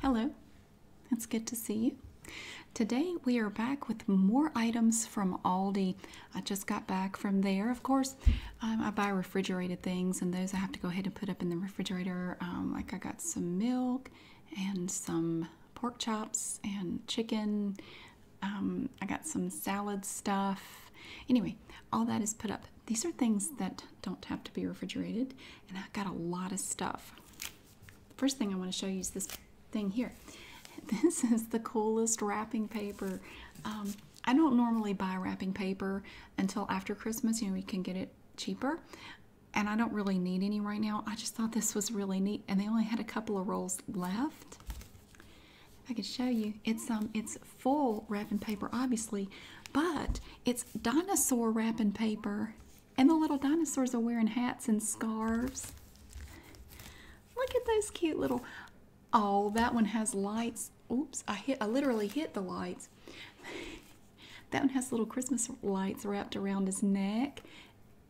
Hello, it's good to see you. Today we are back with more items from Aldi. I just got back from there. Of course, um, I buy refrigerated things, and those I have to go ahead and put up in the refrigerator. Um, like I got some milk and some pork chops and chicken. Um, I got some salad stuff. Anyway, all that is put up. These are things that don't have to be refrigerated, and I've got a lot of stuff. First thing I want to show you is this thing here. This is the coolest wrapping paper. Um, I don't normally buy wrapping paper until after Christmas. You know, you can get it cheaper. And I don't really need any right now. I just thought this was really neat. And they only had a couple of rolls left. If I can show you, it's um it's full wrapping paper, obviously, but it's dinosaur wrapping paper, and the little dinosaurs are wearing hats and scarves. Look at those cute little. Oh, that one has lights. Oops, I hit. I literally hit the lights. that one has little Christmas lights wrapped around his neck,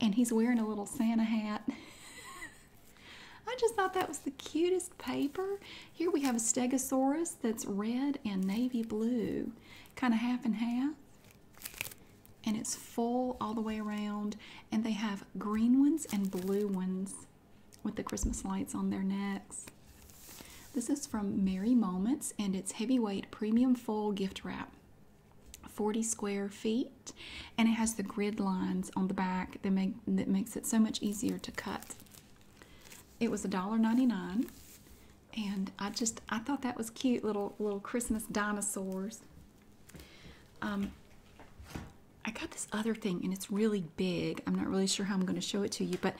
and he's wearing a little Santa hat. I just thought that was the cutest paper. Here we have a Stegosaurus that's red and navy blue kind of half and half. And it's full all the way around. And they have green ones and blue ones with the Christmas lights on their necks. This is from Merry Moments and it's heavyweight premium full gift wrap. 40 square feet and it has the grid lines on the back that make that makes it so much easier to cut. It was $1.99 and I just I thought that was cute little little Christmas dinosaurs. Um, I got this other thing and it's really big. I'm not really sure how I'm going to show it to you, but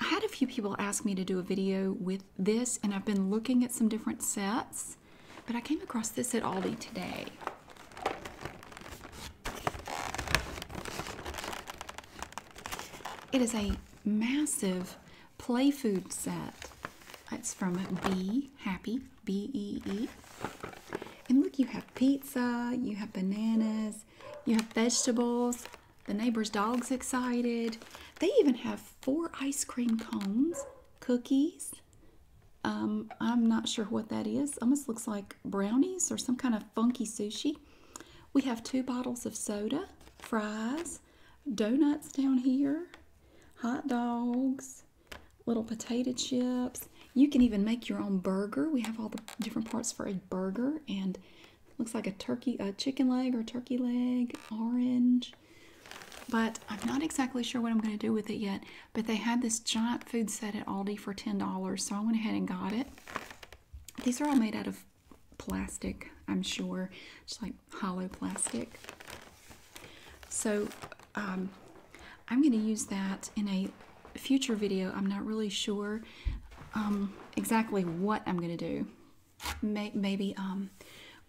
I had a few people ask me to do a video with this, and I've been looking at some different sets, but I came across this at Aldi today. It is a massive play food set. It's from B Happy B E E. And look, you have pizza, you have bananas, you have vegetables. The neighbor's dog's excited. They even have four ice cream cones, cookies. Um, I'm not sure what that is. Almost looks like brownies or some kind of funky sushi. We have two bottles of soda, fries, donuts down here, hot dogs, little potato chips. You can even make your own burger. We have all the different parts for a burger and looks like a turkey, a chicken leg or turkey leg, orange. But I'm not exactly sure what I'm going to do with it yet. But they had this giant food set at Aldi for $10, so I went ahead and got it. These are all made out of plastic, I'm sure. It's like hollow plastic. So um, I'm going to use that in a future video. I'm not really sure um, exactly what I'm going to do. maybe um,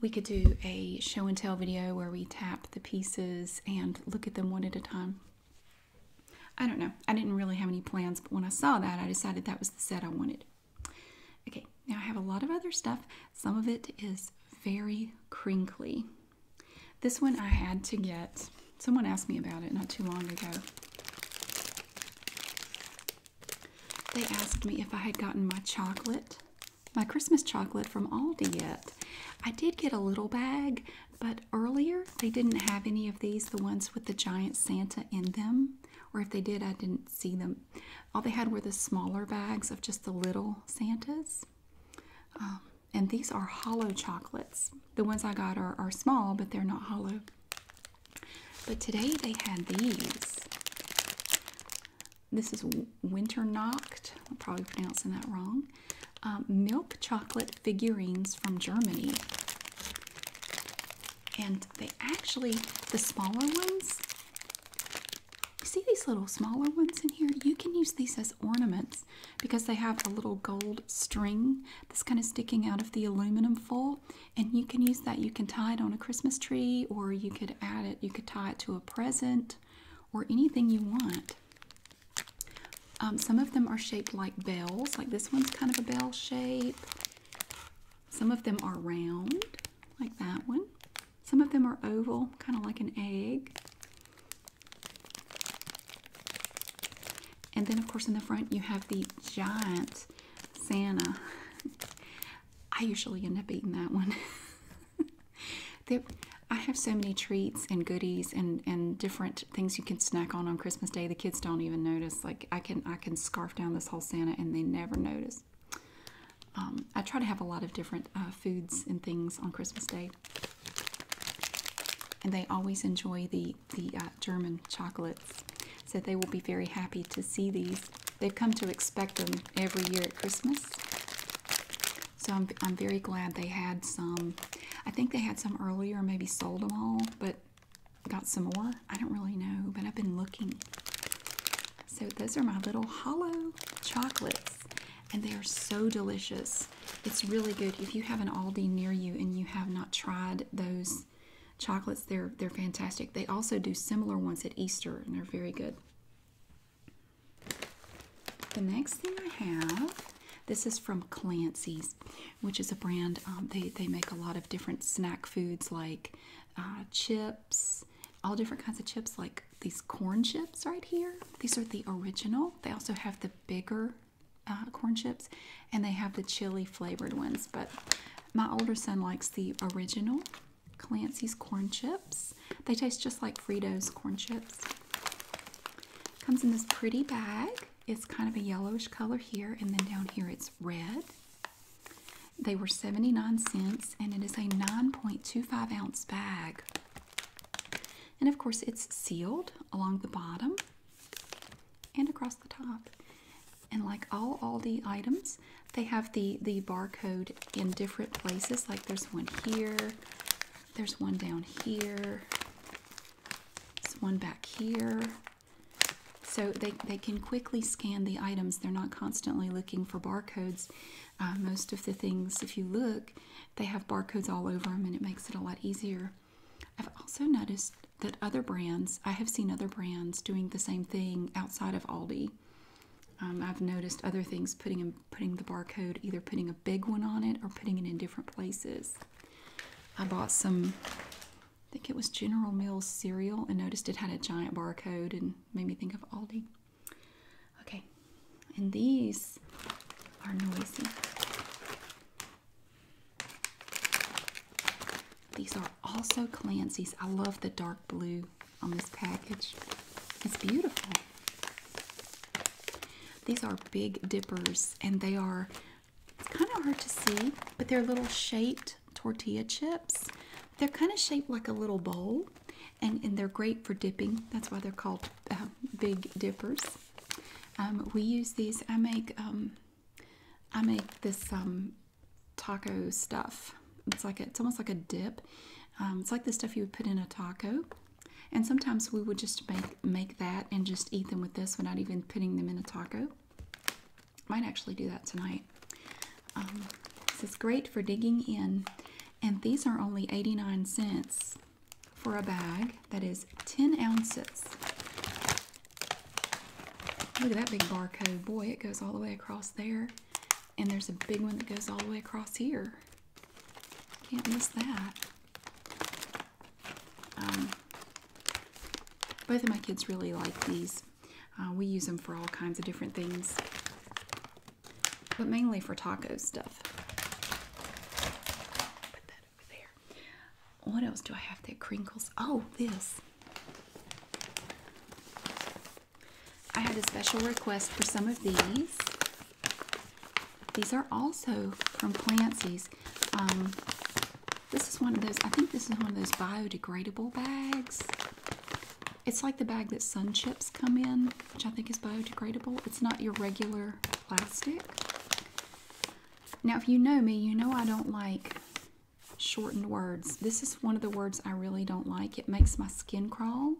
we could do a show and tell video where we tap the pieces and look at them one at a time. I don't know. I didn't really have any plans, but when I saw that, I decided that was the set I wanted. Okay, now I have a lot of other stuff. Some of it is very crinkly. This one I had to get. Someone asked me about it not too long ago. They asked me if I had gotten my chocolate, my Christmas chocolate from Aldi yet. I did get a little bag, but earlier they didn't have any of these, the ones with the giant Santa in them or if they did, I didn't see them. All they had were the smaller bags of just the little Santas. Um, and these are hollow chocolates. The ones I got are, small, but they're not hollow. But today they had these. This is Winternacht. I'm probably pronouncing that wrong. Um, milk chocolate figurines from Germany and they actually the smaller ones you see these little smaller ones in here you can use these as ornaments because they have a little gold string that's kind of sticking out of the aluminum foil and you can use that you can tie it on a christmas tree or you could add it you could tie it to a present or anything you want um, some of them are shaped like bells like this one's kind of a bell shape some of them are round, like that one. Some of them are oval, kind of like an egg. And then, of course, in the front, you have the giant Santa. I usually end up eating that one. I have so many treats and goodies and and different things you can snack on on Christmas Day. The kids don't even notice. Like I can I can scarf down this whole Santa and they never notice. Um, I try to have a lot of different uh, foods and things on Christmas Day. And they always enjoy the, the uh, German chocolates. So they will be very happy to see these. They've come to expect them every year at Christmas. So I'm, I'm very glad they had some. I think they had some earlier, maybe sold them all, but got some more. I don't really know, but I've been looking. So those are my little hollow chocolates, and they are so delicious. It's really good. If you have an Aldi near you and you have not tried those chocolates, they're they're fantastic. They also do similar ones at Easter, and they're very good. The next thing I have, this is from Clancy's, which is a brand. Um, they they make a lot of different snack foods like uh, chips, all different kinds of chips, like these corn chips right here. These are the original. They also have the bigger uh, corn chips, and they have the chili flavored ones. But my older son likes the original Clancy's corn chips. They taste just like Fritos corn chips. Comes in this pretty bag. It's kind of a yellowish color here, and then down here it's red. They were 79 cents and it is a 9.25 ounce bag. And of course, it's sealed along the bottom and across the top. And like all all the items, they have the, the barcode in different places. Like there's one here, there's one down here, there's one back here. So they, they can quickly scan the items. They're not constantly looking for barcodes. Uh, most of the things, if you look, they have barcodes all over them and it makes it a lot easier. I've also noticed that other brands, I have seen other brands doing the same thing outside of Aldi. Um, I've noticed other things putting putting the barcode, either putting a big one on it or putting it in different places. I bought some I think it was General Mills cereal and noticed it had a giant barcode and made me think of Aldi. Okay, and these are noisy. These are also Clancy's. I love the dark blue on this package. It's beautiful. These are Big Dippers and they are, it's kind of hard to see, but they're little shaped tortilla chips. They're kind of shaped like a little bowl, and, and they're great for dipping. That's why they're called um, Big Dippers. Um, we use these. I make um, I make this um, taco stuff. It's like it's almost like a dip. Um, it's like the stuff you would put in a taco. And sometimes we would just make make that and just eat them with this without even putting them in a taco. Might actually do that tonight. Um, this is great for digging in, and these are only 89 cents for a bag that is 10 ounces. Look at that big barcode. Boy, it goes all the way across there. And there's a big one that goes all the way across here. Can't miss that. Um, both of my kids really like these uh, we use them for all kinds of different things, but mainly for taco stuff. Put that over there. What else do I have that crinkles? Oh, this. I had a special request for some of these. These are also from Clancy's. Um, this is one of those, I think this is one of those biodegradable bags. It's like the bag that sun chips come in, which I think is biodegradable. It's not your regular plastic. Now, if you know me, you know I don't like shortened words. This is one of the words I really don't like. It makes my skin crawl.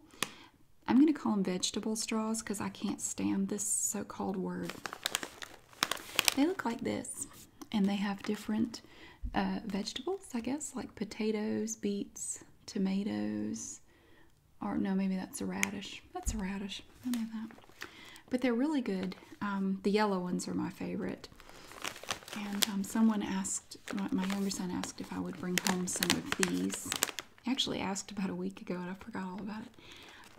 I'm going to call them vegetable straws because I can't stand this so-called word. They look like this and they have different uh, vegetables, I guess, like potatoes, beets, tomatoes, or no, maybe that's a radish. That's a radish. I know that. But they're really good. Um, the yellow ones are my favorite. And um, someone asked, my younger son asked if I would bring home some of these. Actually asked about a week ago and I forgot all about it.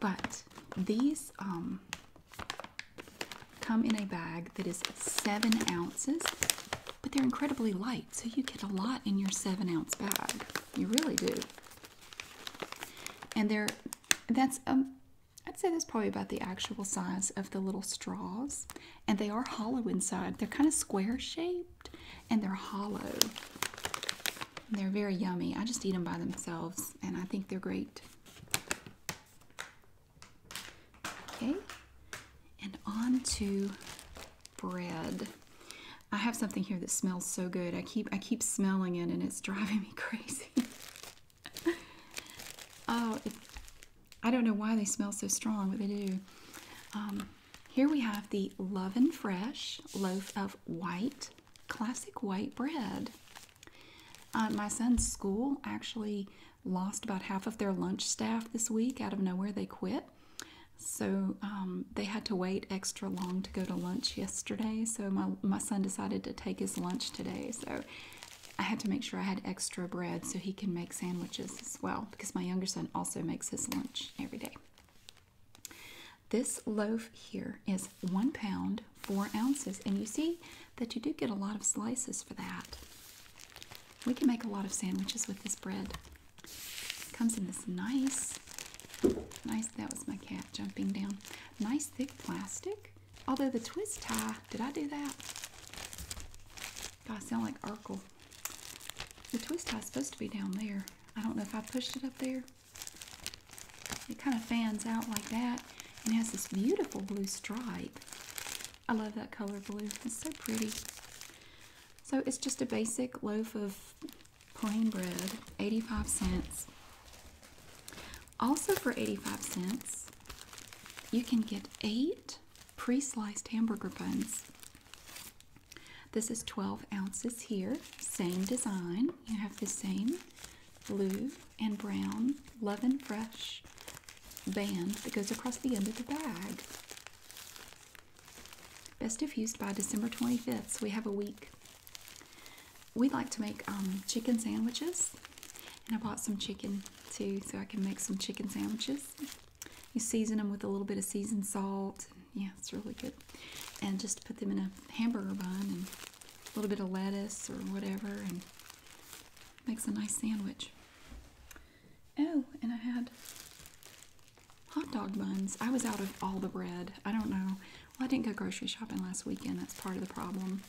But these, um, come in a bag that is seven ounces, but they're incredibly light, so you get a lot in your seven ounce bag. You really do. And they're that's um, I'd say that's probably about the actual size of the little straws. And they are hollow inside. They're kind of square shaped and they're hollow. They're very yummy. I just eat them by themselves and I think they're great. Okay, and on to bread. I have something here that smells so good. I keep I keep smelling it and it's driving me crazy. oh, I don't know why they smell so strong, but they do. Um, here we have the Love and Fresh loaf of white, classic white bread. Uh, my son's school actually lost about half of their lunch staff this week. Out of nowhere, they quit. So um, they had to wait extra long to go to lunch yesterday. So my, my son decided to take his lunch today. So I had to make sure I had extra bread so he can make sandwiches as well because my younger son also makes his lunch every day. This loaf here is one pound, four ounces, and you see that you do get a lot of slices for that. We can make a lot of sandwiches with this bread. Comes in this nice, nice, that was my cat jumping down. Nice thick plastic. Although the twist tie, did I do that? God, I sound like Urkel. The twist tie is supposed to be down there. I don't know if I pushed it up there. It kind of fans out like that and has this beautiful blue stripe. I love that color blue. It's so pretty. So it's just a basic loaf of plain bread, 85 cents. Also for 85 cents, you can get eight pre-sliced hamburger buns. This is 12 ounces here, same design. You have the same blue and brown, Love and Fresh band that goes across the end of the bag. Best if used by December 25th, so we have a week. We like to make um, chicken sandwiches, and I bought some chicken too, so I can make some chicken sandwiches. You season them with a little bit of seasoned salt. Yeah, it's really good. And just put them in a hamburger bun and a little bit of lettuce or whatever, and makes a nice sandwich. Oh, and I had hot dog buns. I was out of all the bread. I don't know. Well, I didn't go grocery shopping last weekend. That's part of the problem.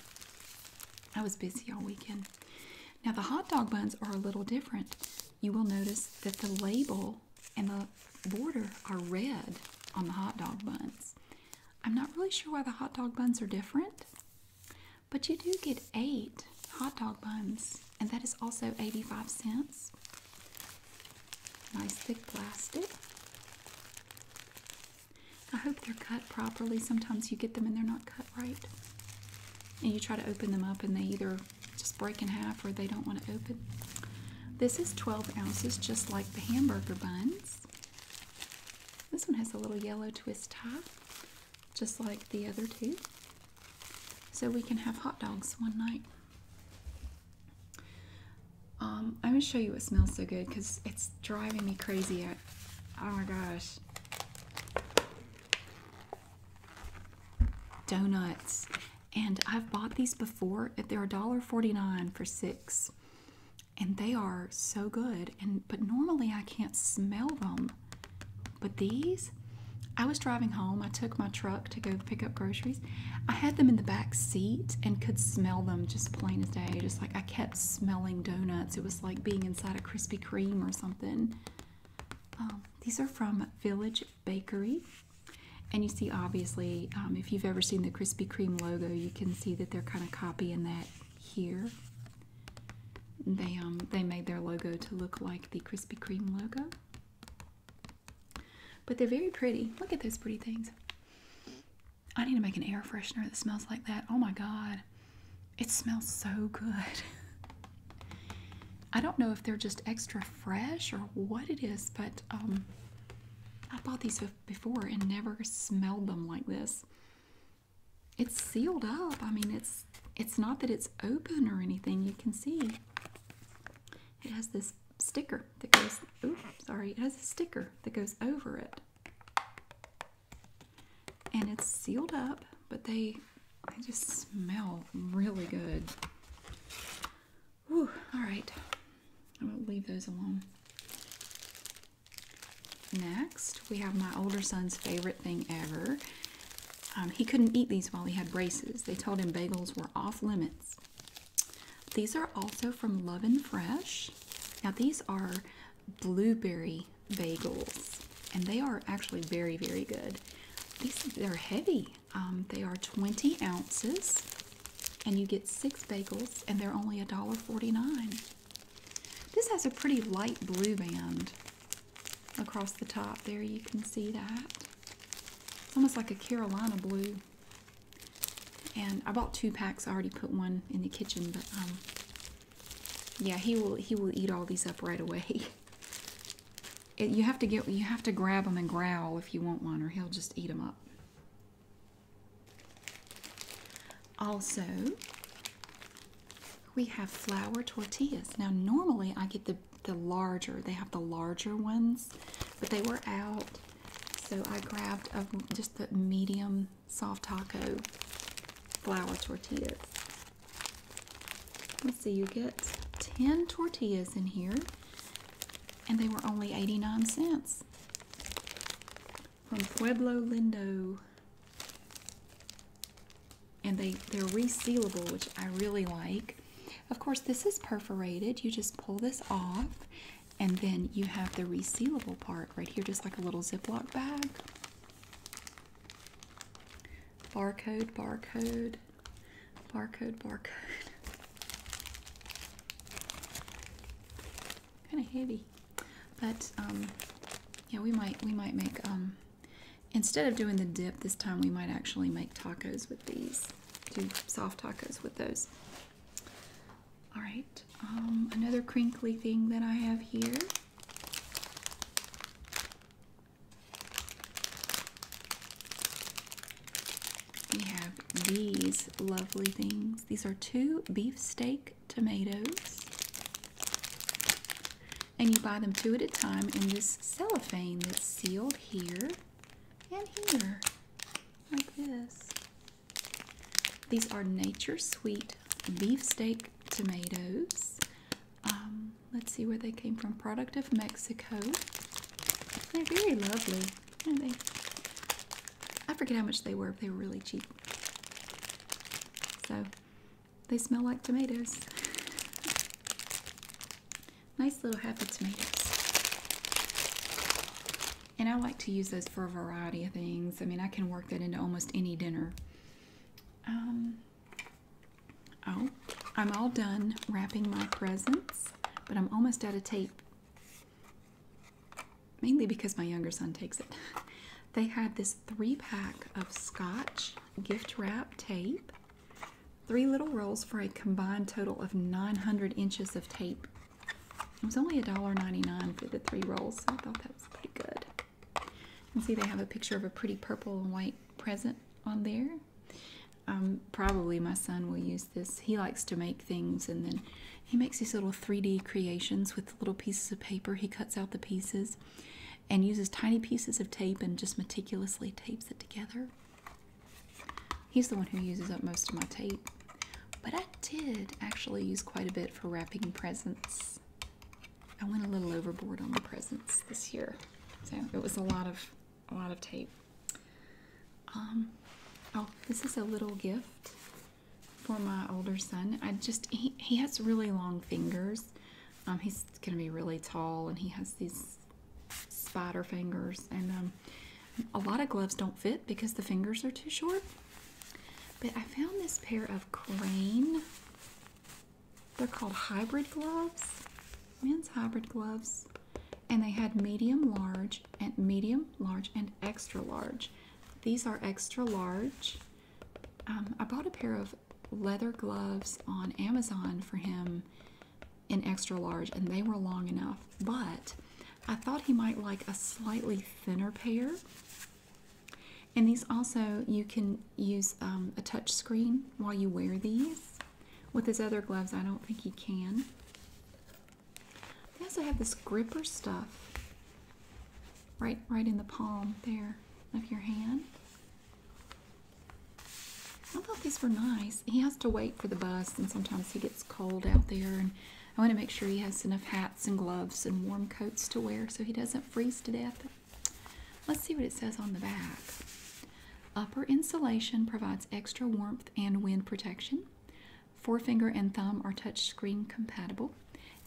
I was busy all weekend. Now, the hot dog buns are a little different. You will notice that the label and the border are red on the hot dog buns. I'm not really sure why the hot dog buns are different, but you do get eight hot dog buns, and that is also 85 cents. Nice thick plastic. I hope they're cut properly. Sometimes you get them and they're not cut right. And you try to open them up and they either just break in half or they don't want to open. This is 12 ounces, just like the hamburger buns. This one has a little yellow twist top just like the other two. So we can have hot dogs one night. Um, I'm going to show you what smells so good because it's driving me crazy. oh my gosh. Donuts. And I've bought these before. They're $1.49 for six. And they are so good and but normally I can't smell them. But these, I was driving home, I took my truck to go pick up groceries. I had them in the back seat and could smell them just plain as day. Just like I kept smelling donuts. It was like being inside a Krispy Kreme or something. Um, these are from Village Bakery. And you see, obviously, um, if you've ever seen the Krispy Kreme logo, you can see that they're kind of copying that here. They um, they made their logo to look like the Krispy Kreme logo. But they're very pretty. Look at those pretty things. I need to make an air freshener that smells like that. Oh my god. It smells so good. I don't know if they're just extra fresh or what it is, but um, I bought these before and never smelled them like this it's sealed up. I mean, it's it's not that it's open or anything. You can see it has this sticker that goes. Oh, sorry, it has a sticker that goes over it, and it's sealed up. But they they just smell really good. Whew, all right, I'm gonna leave those alone. Next, we have my older son's favorite thing ever. Um, he couldn't eat these while he had braces. They told him bagels were off limits. These are also from Love and Fresh. Now, these are blueberry bagels, and they are actually very, very good. These they're heavy. Um, they are 20 ounces, and you get six bagels, and they're only $1.49. This has a pretty light blue band across the top there you can see that it's almost like a Carolina blue and I bought two packs I already put one in the kitchen but um, yeah he will he will eat all these up right away you have to get you have to grab them and growl if you want one or he'll just eat them up also, we have flour tortillas. Now, normally I get the, the larger, they have the larger ones, but they were out. So I grabbed just the medium soft taco flour tortillas. Let's see, you get 10 tortillas in here, and they were only 89 cents. From Pueblo Lindo and they they're resealable which I really like of course this is perforated you just pull this off and then you have the resealable part right here just like a little ziploc bag barcode barcode barcode barcode kind of heavy but um, yeah we might we might make um, Instead of doing the dip this time, we might actually make tacos with these. Do soft tacos with those. All right, um, another crinkly thing that I have here. We have these lovely things. These are two beefsteak tomatoes. And you buy them two at a time in this cellophane that's sealed here and here, like this. These are Nature Sweet beefsteak tomatoes. Um, let's see where they came from. Product of Mexico. They're very lovely. Aren't they? I forget how much they were, but they were really cheap. So they smell like tomatoes. Nice little happy tomatoes. And I like to use those for a variety of things. I mean, I can work that into almost any dinner. Um, oh, I'm all done wrapping my presents, but I'm almost out of tape. Mainly because my younger son takes it. They had this three pack of scotch gift wrap tape, three little rolls for a combined total of 900 inches of tape. It was only $1.99 for the three rolls, so I thought that was pretty good. You can see they have a picture of a pretty purple and white present on there. Um, probably my son will use this. He likes to make things and then he makes these little 3D creations with little pieces of paper. He cuts out the pieces and uses tiny pieces of tape and just meticulously tapes it together. He's the one who uses up most of my tape, but I did actually use quite a bit for wrapping presents. I went a little overboard on the presents this year, so it was a lot of a lot of tape. Um, oh, this is a little gift for my older son. I just he he has really long fingers, um, he's going to be really tall, and he has these spider fingers. And um, a lot of gloves don't fit because the fingers are too short. But I found this pair of crane. They're called hybrid gloves, men's hybrid gloves, and they had medium, large, and medium, large, and extra large. These are extra large. Um, I bought a pair of leather gloves on Amazon for him in extra large, and they were long enough, but I thought he might like a slightly thinner pair. And these also, you can use um, a touch screen while you wear these. With his other gloves, I don't think he can. They also have this gripper stuff right, right in the palm there of your hand. I thought these were nice. He has to wait for the bus, and sometimes he gets cold out there. And I want to make sure he has enough hats and gloves and warm coats to wear so he doesn't freeze to death. Let's see what it says on the back. Upper insulation provides extra warmth and wind protection. Forefinger and thumb are touchscreen compatible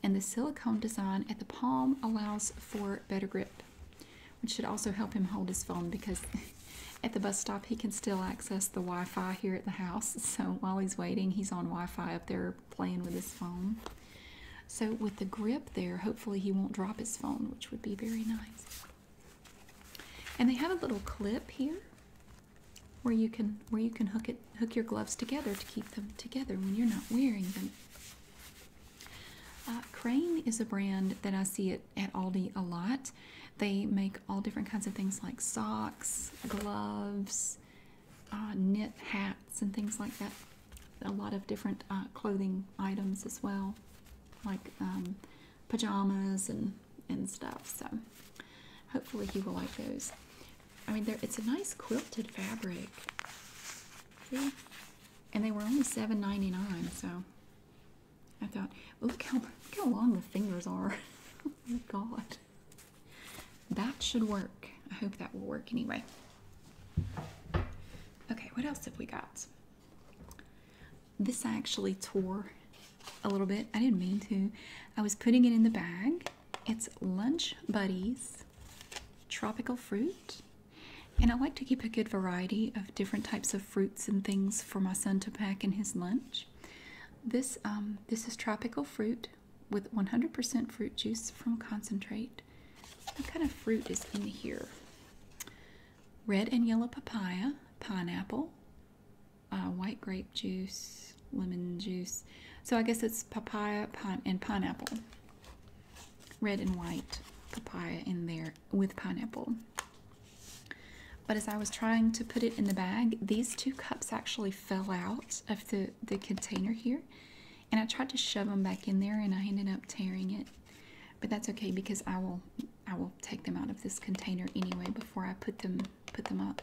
and the silicone design at the palm allows for better grip, which should also help him hold his phone because at the bus stop he can still access the Wi Fi here at the house. So while he's waiting, he's on Wi Fi up there playing with his phone. So with the grip there, hopefully he won't drop his phone, which would be very nice. And they have a little clip here where you can where you can hook it hook your gloves together to keep them together when you're not wearing them. Uh, Crane is a brand that I see it at Aldi a lot. They make all different kinds of things like socks, gloves, uh, knit hats, and things like that. A lot of different uh, clothing items as well, like um, pajamas and and stuff. So hopefully you will like those. I mean, it's a nice quilted fabric. See, and they were only $7.99 so i thought well, look how look how long the fingers are oh my god that should work i hope that will work anyway okay what else have we got this i actually tore a little bit i didn't mean to i was putting it in the bag it's lunch buddies tropical fruit and I like to keep a good variety of different types of fruits and things for my son to pack in his lunch. This um, this is tropical fruit with 100% fruit juice from concentrate. What kind of fruit is in here? Red and yellow papaya, pineapple, uh, white grape juice, lemon juice. So I guess it's papaya and pineapple red and white papaya in there with pineapple. But as I was trying to put it in the bag, these two cups actually fell out of the, the container here. And I tried to shove them back in there and I ended up tearing it. But that's okay because I will I will take them out of this container anyway before I put them put them up.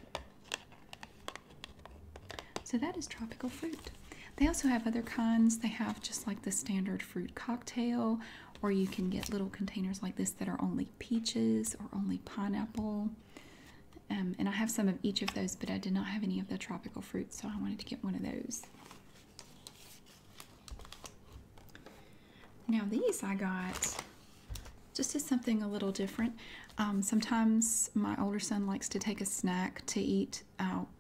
So that is tropical fruit. They also have other kinds. They have just like the standard fruit cocktail, or you can get little containers like this that are only peaches or only pineapple. Um, and I have some of each of those, but I did not have any of the tropical fruit, so I wanted to get one of those. Now, these I got just as something a little different. Um, sometimes my older son likes to take a snack to eat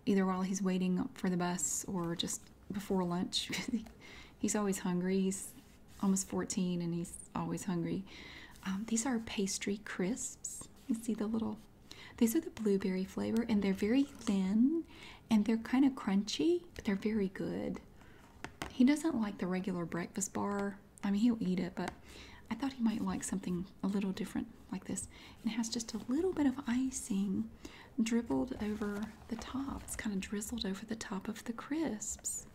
either while he's waiting for the bus or just before lunch. he's always hungry. He's almost 14 and he's always hungry. Um, these are pastry crisps. You see the little, these are the blueberry flavor and they're very thin and they're kind of crunchy, but they're very good. He doesn't like the regular breakfast bar. I mean, he'll eat it, but I thought he might like something a little different like this. it has just a little bit of icing dribbled over the top. It's kind of drizzled over the top of the crisps.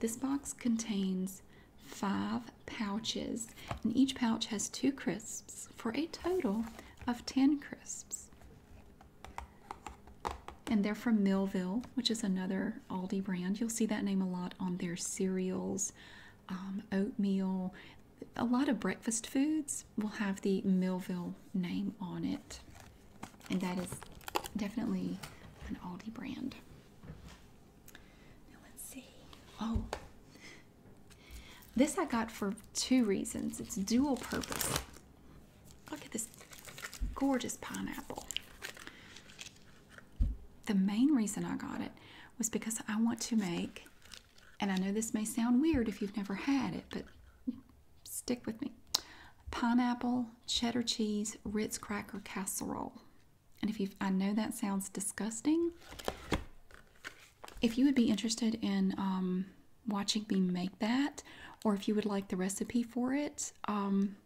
This box contains five pouches, and each pouch has two crisps for a total of 10 crisps. And they're from Millville, which is another Aldi brand. You'll see that name a lot on their cereals, um, oatmeal a lot of breakfast foods will have the Millville name on it, and that is definitely an Aldi brand. Now let's see. Oh, this I got for two reasons. It's dual purpose. Look at this gorgeous pineapple. The main reason I got it was because I want to make and I know this may sound weird if you've never had it, but stick with me pineapple, cheddar cheese, Ritz cracker casserole. And if you I know that sounds disgusting. If you would be interested in um, watching me make that, or if you would like the recipe for it, um,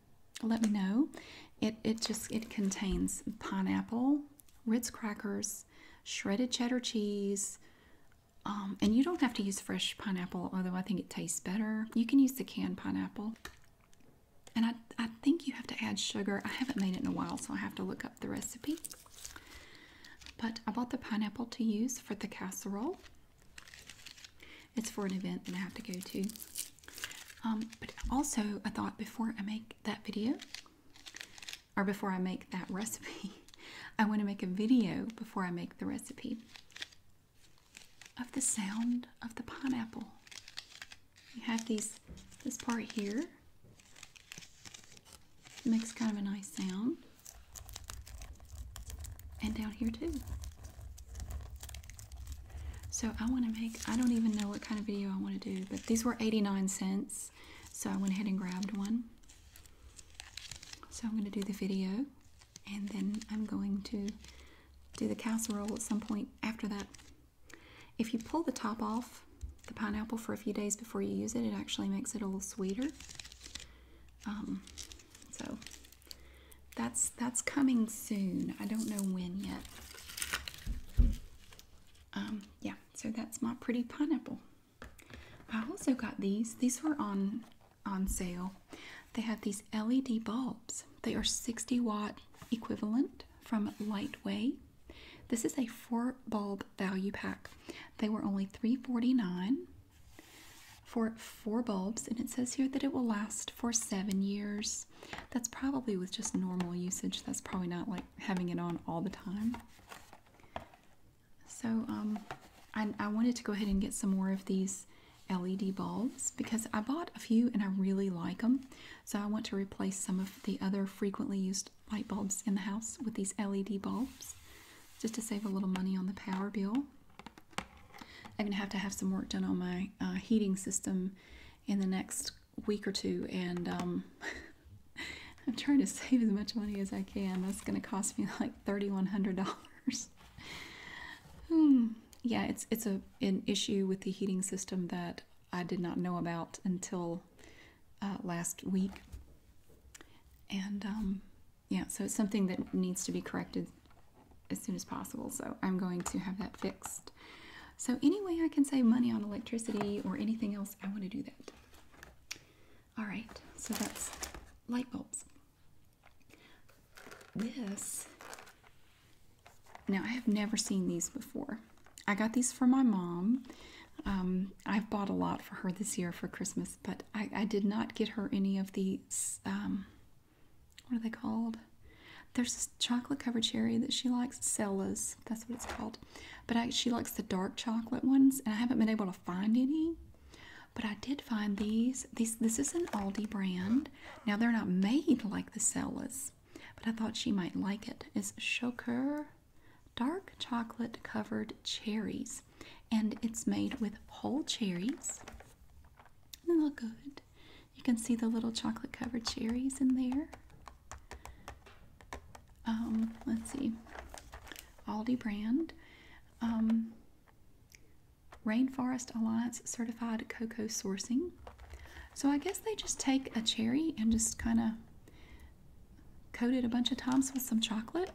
let me know. It, it just it contains pineapple, Ritz crackers, shredded cheddar cheese, um, and you don't have to use fresh pineapple, although I think it tastes better. You can use the canned pineapple. And I, I think you have to add sugar. I haven't made it in a while, so I have to look up the recipe. But I bought the pineapple to use for the casserole. It's for an event that I have to go to. Um, but also, I thought before I make that video, or before I make that recipe. I want to make a video before I make the recipe of the sound of the pineapple. You have these this part here. makes kind of a nice sound. And down here too. So I want to make I don't even know what kind of video I want to do, but these were 89 cents. So I went ahead and grabbed one. So I'm going to do the video and then I'm going to do the casserole at some point after that. If you pull the top off the pineapple for a few days before you use it, it actually makes it a little sweeter. Um, so that's that's coming soon. I don't know when yet. Um, yeah, so that's my pretty pineapple. I also got these. These were on on sale. They have these LED bulbs. They are 60 watt equivalent from Lightway. This is a four bulb value pack. They were only 3 49 for four bulbs, and it says here that it will last for seven years. That's probably with just normal usage. That's probably not like having it on all the time. So um, I, wanted to go ahead and get some more of these LED bulbs because I bought a few and I really like them. So I want to replace some of the other frequently used light bulbs in the house with these LED bulbs just to save a little money on the power bill. I'm going to have to have some work done on my uh, heating system in the next week or two, and um, I'm trying to save as much money as I can. That's going to cost me like thirty-one hundred dollars. Hmm, yeah, it's it's a an issue with the heating system that I did not know about until uh, last week, and um, yeah, so it's something that needs to be corrected as soon as possible. So I'm going to have that fixed. So any way I can save money on electricity or anything else, I want to do that. All right, so that's light bulbs. This, now I have never seen these before. I got these for my mom. Um, I've bought a lot for her this year for Christmas, but I, did not get her any of these. Um, what are they called? There's this chocolate covered cherry that she likes, Cella's that's what it's called. But I, she likes the dark chocolate ones, and I haven't been able to find any. But I did find these. These this is an Aldi brand. Now they're not made like the Cella's, but I thought she might like it. It's Choker dark chocolate covered cherries, and it's made with whole cherries. They look good. You can see the little chocolate covered cherries in there. Um, let's see. Aldi brand. Um, Rainforest Alliance certified cocoa sourcing. So I guess they just take a cherry and just kind of coat it a bunch of times with some chocolate.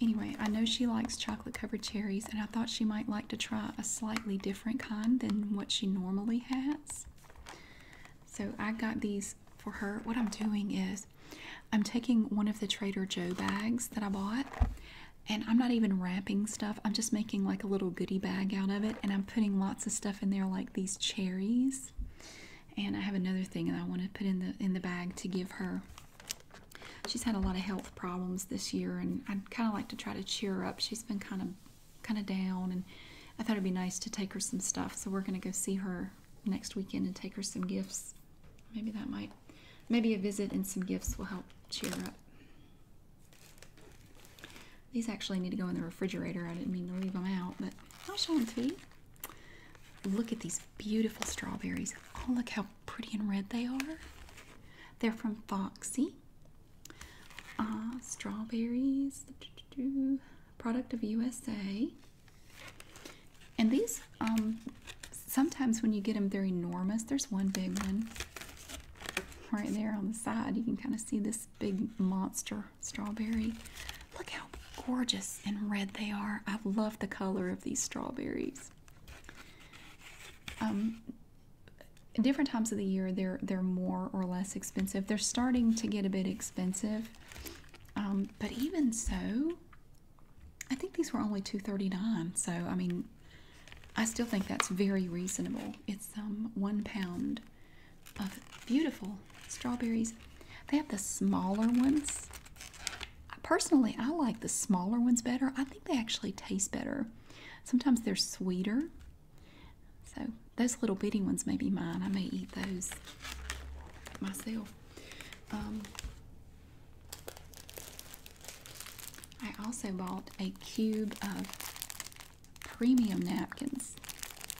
Anyway, I know she likes chocolate covered cherries and I thought she might like to try a slightly different kind than what she normally has. So I got these for her. What I'm doing is I'm taking one of the Trader Joe bags that I bought and I'm not even wrapping stuff. I'm just making like a little goodie bag out of it and I'm putting lots of stuff in there like these cherries. And I have another thing that I want to put in the in the bag to give her. She's had a lot of health problems this year and i kind of like to try to cheer her up. She's been kind of kind of down, and I thought it'd be nice to take her some stuff. So we're going to go see her next weekend and take her some gifts. Maybe that might, maybe a visit and some gifts will help cheer her up. These actually need to go in the refrigerator. I didn't mean to leave them out, but I'll Look at these beautiful strawberries. Oh, look how pretty and red they are. They're from Foxy. Ah, strawberries product of USA. And these, um, sometimes when you get them, they're enormous. There's one big one right there on the side. You can kind of see this big monster strawberry. Look how gorgeous and red they are. I love the color of these strawberries. Um, different times of the year, they're they're more or less expensive. They're starting to get a bit expensive, um, but even so, I think these were only two thirty nine. So I mean, I still think that's very reasonable. It's um, one pound of beautiful strawberries. They have the smaller ones. Personally, I like the smaller ones better. I think they actually taste better. Sometimes they're sweeter so those little bitty ones may be mine. I may eat those myself. Um, I also bought a cube of premium napkins.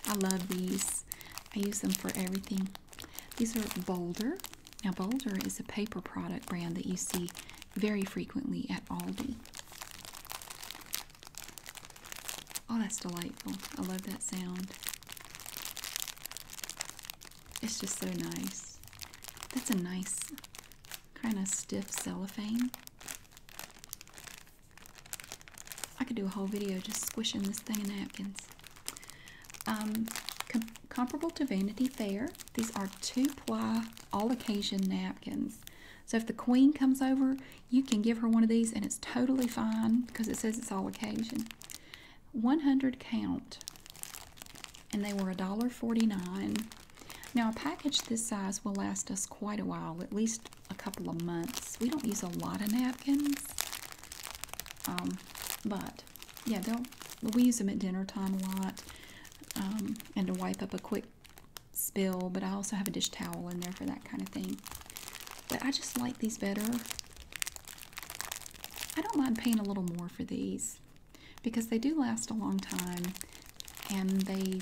I love these. I use them for everything. These are Boulder. Now Boulder is a paper product brand that you see very frequently at Aldi. Oh, that's delightful. I love that sound. It's just so nice. That's a nice kind of stiff cellophane. I could do a whole video just squishing this thing in napkins. Um, comparable to Vanity Fair, these are two-ply all-occasion napkins. So if the queen comes over, you can give her one of these and it's totally fine because it says it's all occasion. 100 count and they were $1.49. Now a package this size will last us quite a while, at least a couple of months. We don't use a lot of napkins, um, but yeah, they'll we use them at dinner time a lot um, and to wipe up a quick spill, but I also have a dish towel in there for that kind of thing. But I just like these better. I don't mind paying a little more for these because they do last a long time and they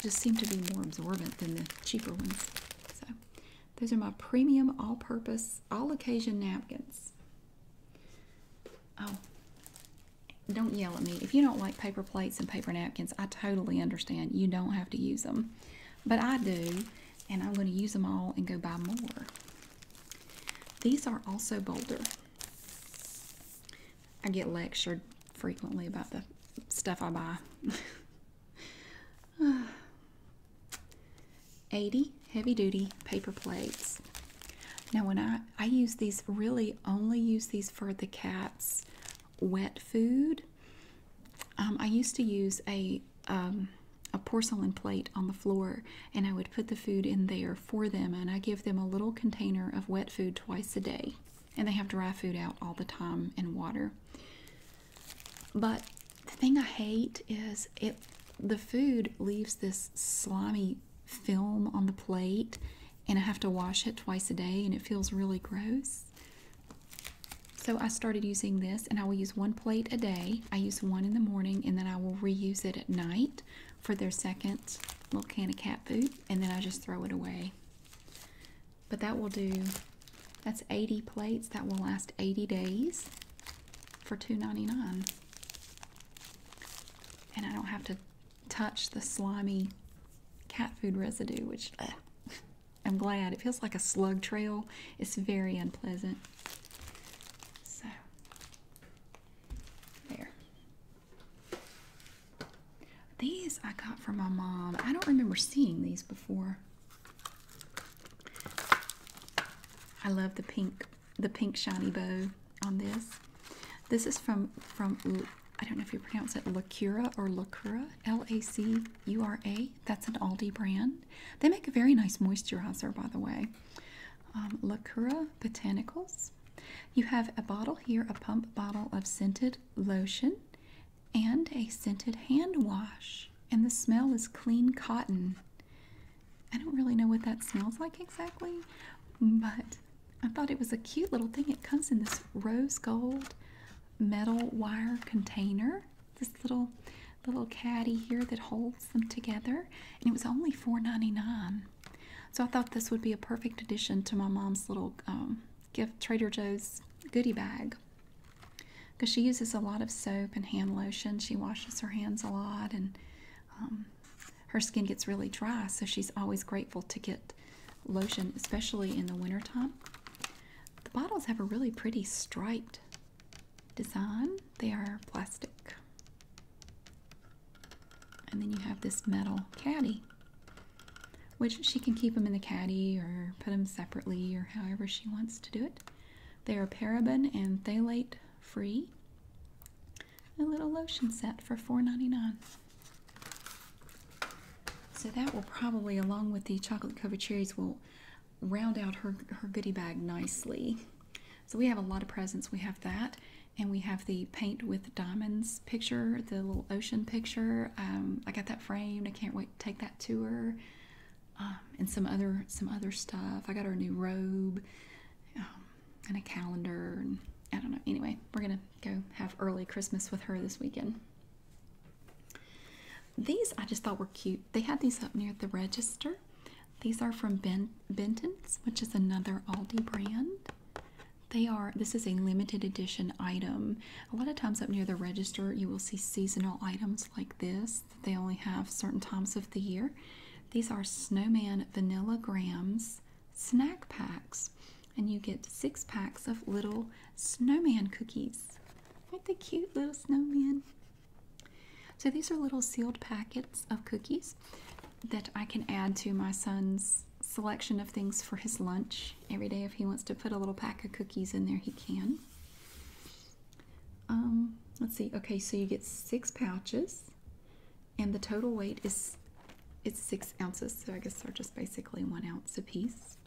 just seem to be more absorbent than the cheaper ones. So, those are my premium all purpose, all occasion napkins. Oh, don't yell at me. If you don't like paper plates and paper napkins, I totally understand. You don't have to use them but I do, and I'm going to use them all and go buy more. These are also bolder. I get lectured frequently about the stuff I buy. 80 heavy duty paper plates. Now when I, I use these, really only use these for the cat's wet food um, I used to use a um, a porcelain plate on the floor, and I would put the food in there for them, and I give them a little container of wet food twice a day, and they have dry food out all the time and water. But the thing I hate is it the food leaves this slimy film on the plate, and I have to wash it twice a day, and it feels really gross. So I started using this, and I will use one plate a day. I use one in the morning, and then I will reuse it at night for their second little can of cat food, and then I just throw it away. But that will do, that's 80 plates. That will last 80 days for $2.99. And I don't have to touch the slimy cat food residue, which, I'm glad. It feels like a slug trail. It's very unpleasant. So, there. These I got from my mom. I don't remember seeing these before. I love the pink, the pink shiny bow on this. This is from from I don't know if you pronounce it Lacura or Lacura. Lacura, That's an Aldi brand. They make a very nice moisturizer, by the way. Um, Lacura Botanicals. You have a bottle here, a pump bottle of scented lotion and a scented hand wash. And the smell is clean cotton. I don't really know what that smells like exactly, but I thought it was a cute little thing. It comes in this rose gold metal wire container. This little little caddy here that holds them together, and it was only $4.99. So I thought this would be a perfect addition to my mom's little um, gift Trader Joe's goodie bag. Because she uses a lot of soap and hand lotion, she washes her hands a lot, and um, her skin gets really dry. So she's always grateful to get lotion, especially in the wintertime. The bottles have a really pretty striped design. They are plastic. And then you have this metal caddy, which she can keep them in the caddy or put them separately or however she wants to do it. They are paraben and phthalate free. A little lotion set for $4.99. So that will probably, along with the chocolate covered cherries, will round out her, her goodie bag nicely. So we have a lot of presents. We have that, and we have the paint with diamonds picture, the little ocean picture. Um, I got that framed. I can't wait to take that to her. Um, and some other some other stuff. I got her new robe um, and a calendar. And I don't know. Anyway, we're gonna go have early Christmas with her this weekend. These I just thought were cute. They had these up near the register. These are from ben Benton's, which is another Aldi brand. They are, this is a limited edition item. A lot of times up near the register, you will see seasonal items like this. They only have certain times of the year. These are Snowman Vanilla Grams snack packs, and you get six packs of little snowman cookies snowflakes. Aren't they cute little snowmen? So these are little sealed packets of cookies that I can add to my son's selection of things for his lunch. Every day if he wants to put a little pack of cookies in there, he can. Um, let's see. Okay, so you get six pouches and the total weight is it's six ounces, so I guess they're just basically one ounce a piece.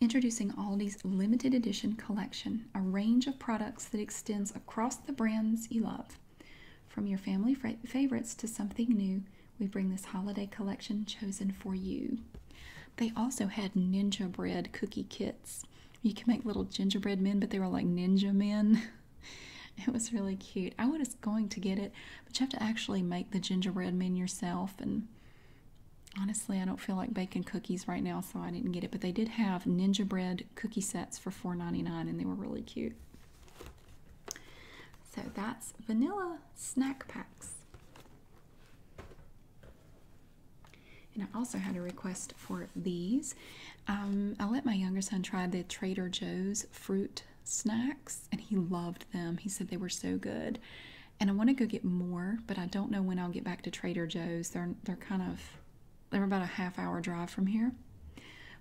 Introducing Aldi's limited edition collection, a range of products that extends across the brands you love. From your family favorites to something new, we bring this holiday collection chosen for you. They also had ninja bread cookie kits. You can make little gingerbread men, but they were like ninja men. it was really cute. I was going to get it, but you have to actually make the gingerbread men yourself and Honestly, I don't feel like baking cookies right now, so I didn't get it. But they did have Ninja Bread cookie sets for $4.99, and they were really cute. So that's vanilla snack packs. And I also had a request for these. Um, I let my younger son try the Trader Joe's fruit snacks, and he loved them. He said they were so good and I want to go get more, but I don't know when I'll get back to Trader Joe's. They're they're kind of they're about a half hour drive from here.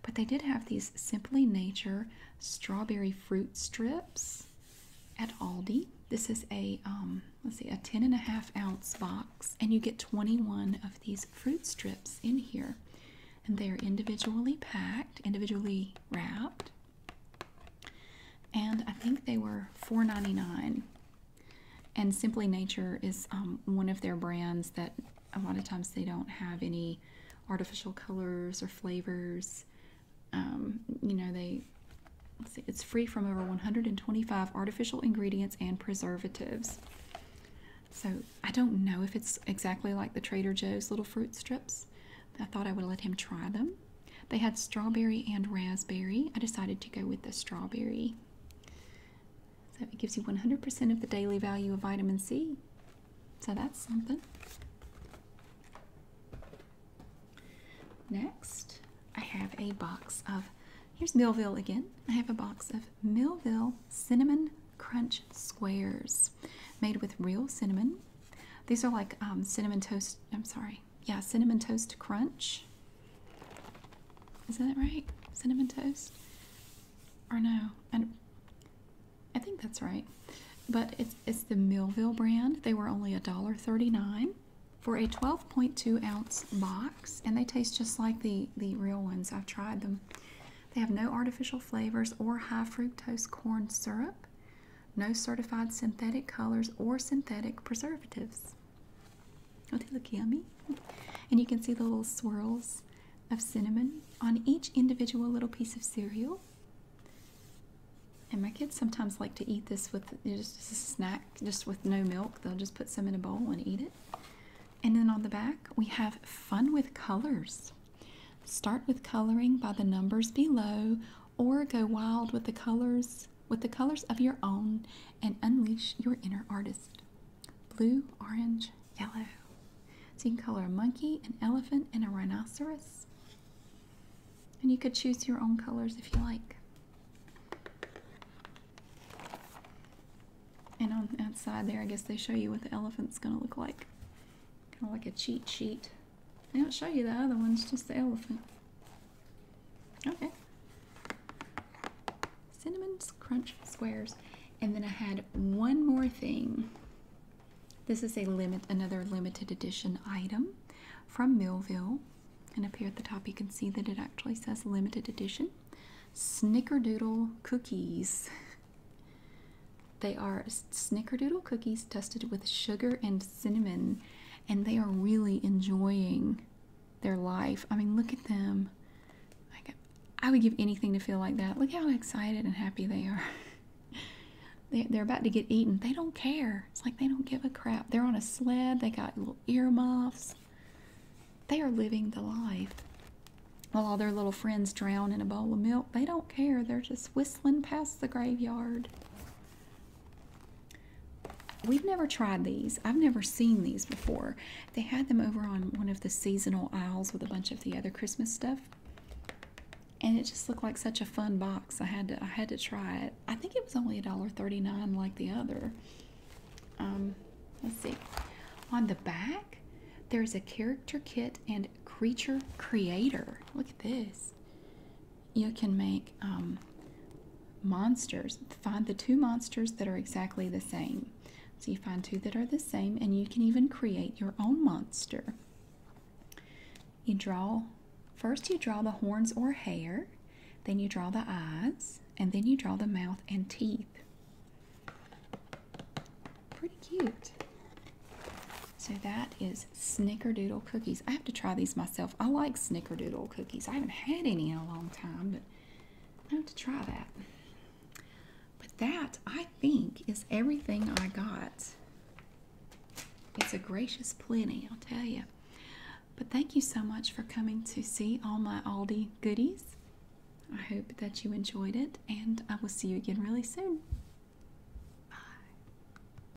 But they did have these Simply Nature strawberry fruit strips at Aldi. This is a um, let's see, a 10 and a half ounce box, and you get 21 of these fruit strips in here. And they are individually packed, individually wrapped and I think they were $4.99. And Simply Nature is um, one of their brands that a lot of times they don't have any artificial colors or flavors. Um, you know, they it's free from over 125 artificial ingredients and preservatives. So I don't know if it's exactly like the Trader Joe's little fruit strips. I thought I would let him try them they had strawberry and raspberry. I decided to go with the strawberry. So it gives you 100% of the daily value of vitamin C. So that's something. Next, I have a box of, here's Millville again. I have a box of Millville Cinnamon Crunch Squares made with real cinnamon. These are like um, cinnamon toast, I'm sorry, yeah, cinnamon toast crunch. Is that right? Cinnamon toast? Or no? I, I think that's right. But it's it's the Millville brand. They were only $1.39 for a 12.2 ounce box, and they taste just like the the real ones. I've tried them. They have no artificial flavors or high fructose corn syrup no certified synthetic colors or synthetic preservatives. Oh, they look yummy. And you can see the little swirls of cinnamon on each individual little piece of cereal. And my kids sometimes like to eat this with just as a snack, just with no milk. They'll just put some in a bowl and eat it. And then on the back, we have fun with colors. Start with coloring by the numbers below or go wild with the colors with the colors of your own and unleash your inner artist. Blue, orange, yellow. So you can color a monkey, an elephant, and a rhinoceros. And you could choose your own colors if you like. And on the outside there, I guess they show you what the elephant's going to look like. Kind of like a cheat sheet. I don't show you the other ones, just the elephant. Okay. Cinnamon Crunch Squares. And then I had one more thing. This is a limit, another limited edition item from Millville. And up here at the top, you can see that it actually says limited edition. Snickerdoodle cookies. They are snickerdoodle cookies dusted with sugar and cinnamon and they are really enjoying their life. I mean, look at them. I would give anything to feel like that. Look how excited and happy they are. they, they're about to get eaten. They don't care. It's like they don't give a crap. They're on a sled. They got little earmuffs. They are living the life. While all their little friends drown in a bowl of milk, they don't care. They're just whistling past the graveyard. We've never tried these. I've never seen these before. They had them over on one of the seasonal aisles with a bunch of the other Christmas stuff. And it just looked like such a fun box. I had to I had to try it. I think it was only $1.39 like the other. Um, let's see. On the back, there's a character kit and creature creator. Look at this you can make um, monsters. Find the two monsters that are exactly the same. So you find two that are the same, and you can even create your own monster. You draw, first you draw the horns or hair, then you draw the eyes, and then you draw the mouth and teeth. Pretty cute. So that is snickerdoodle cookies. I have to try these myself. I like snickerdoodle cookies. I haven't had any in a long time, but I have to try that. But that, I think, is everything I got. It's a gracious plenty, I'll tell you. But thank you so much for coming to see all my Aldi goodies. I hope that you enjoyed it, and I will see you again really soon. Bye.